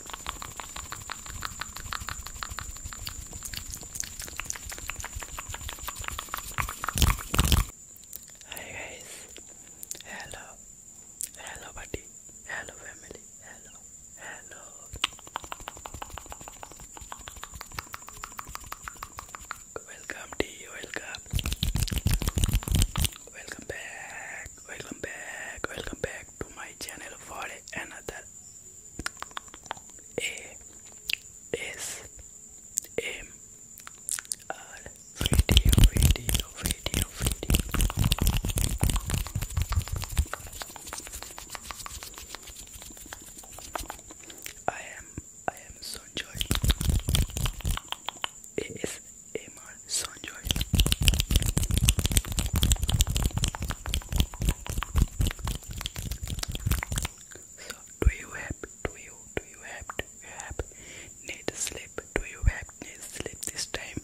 Hi guys, hello, hello buddy, hello family, hello, hello. Welcome to welcome. Welcome back, welcome back, welcome back, to my channel for another A S M R video video video I am I am so joy ASMR ASMR Sanjoy. So, do you have, do you, do you have, do you have need sleep? Do you have need sleep this time?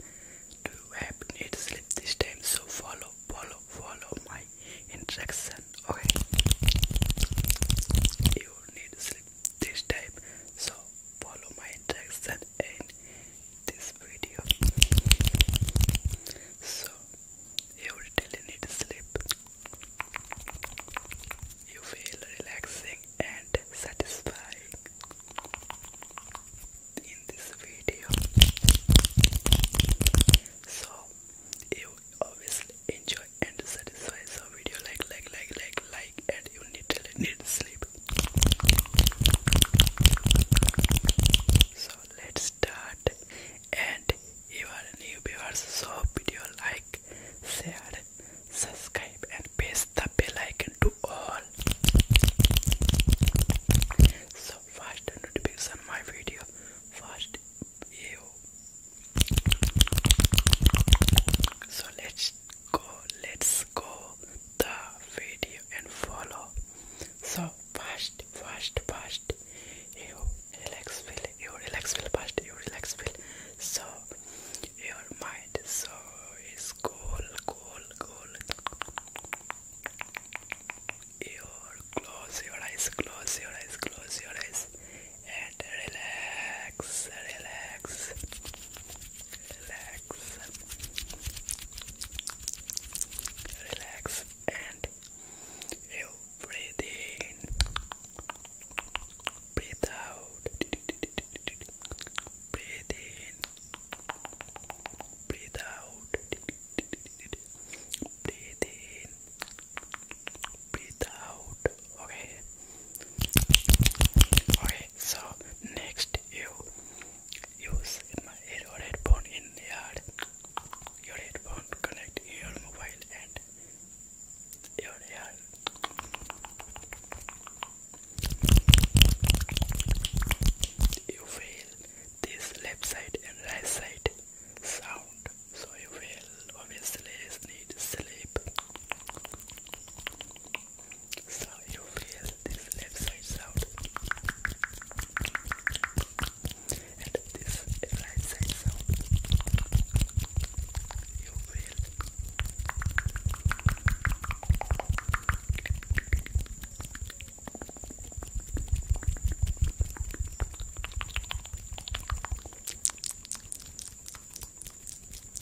Do you have need sleep this time? So follow, follow, follow my instruction. Okay. You need sleep this time. So follow my instruction end this video. So you really need sleep. You feel relaxing and satisfying in this video. So you obviously enjoy and satisfy. So video like like like like and you need need sleep. So let's start and you are new viewers so video like share subscribe and press the bell icon to all so first notification my video first so let's go let's go the video and follow so first first first you relax feel you relax feel first you relax feel so your mind so is cool cool cool your close your eyes close your eyes close your eyes and relax relax relax, relax, and you breathe in, breathe out, breathe in, breathe out, breathe in, breathe out, okay, okay so next you use my your headphone in the yard your headphone connect your mobile and your yard you feel this left side and right side sound so you will obviously need sleep so you feel this left side sound and this right side sound. You feel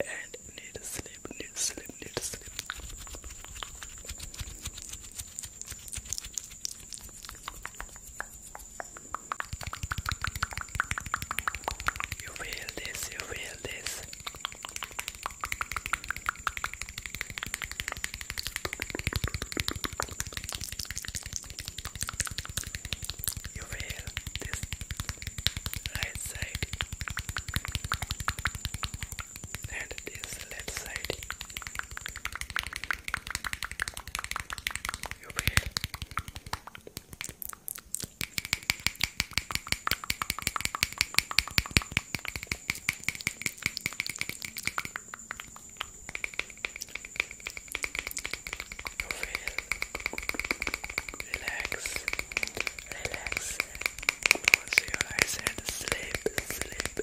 and need sleep, need sleep, need sleep. You feel this, you feel this. You feel this right side and this left side. You feel you feel relax, relax, Close your eyes and sleep, sleep, sleep.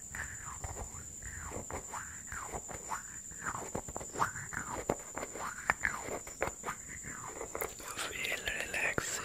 You feel relaxing.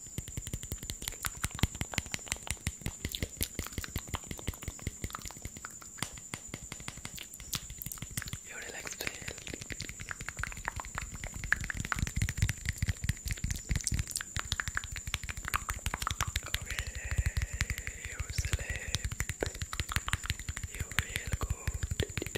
You relax today. Okay, you sleep. You feel good.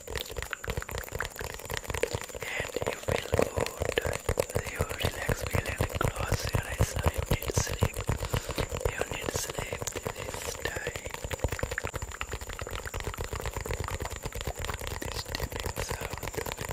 and you feel good, you relax, relax, close your eyes, you need sleep, you sleep this time, this dipping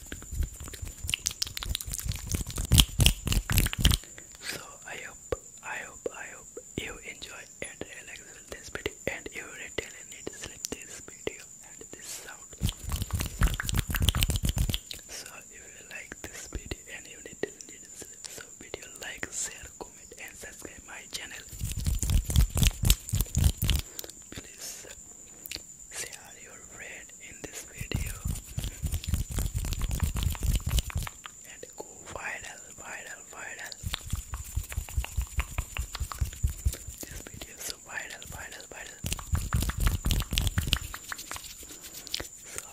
So I hope, I hope, I hope you enjoy and relax with this video and you really need to sleep this video and this sound. So if you like this video and you need to need to sleep, so video like, share, comment and subscribe my channel. Please share your friend in this video and go viral viral viral this video so viral viral viral so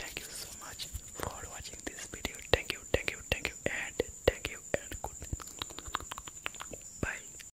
thank you so much for watching this video thank you thank you thank you and thank you and good bye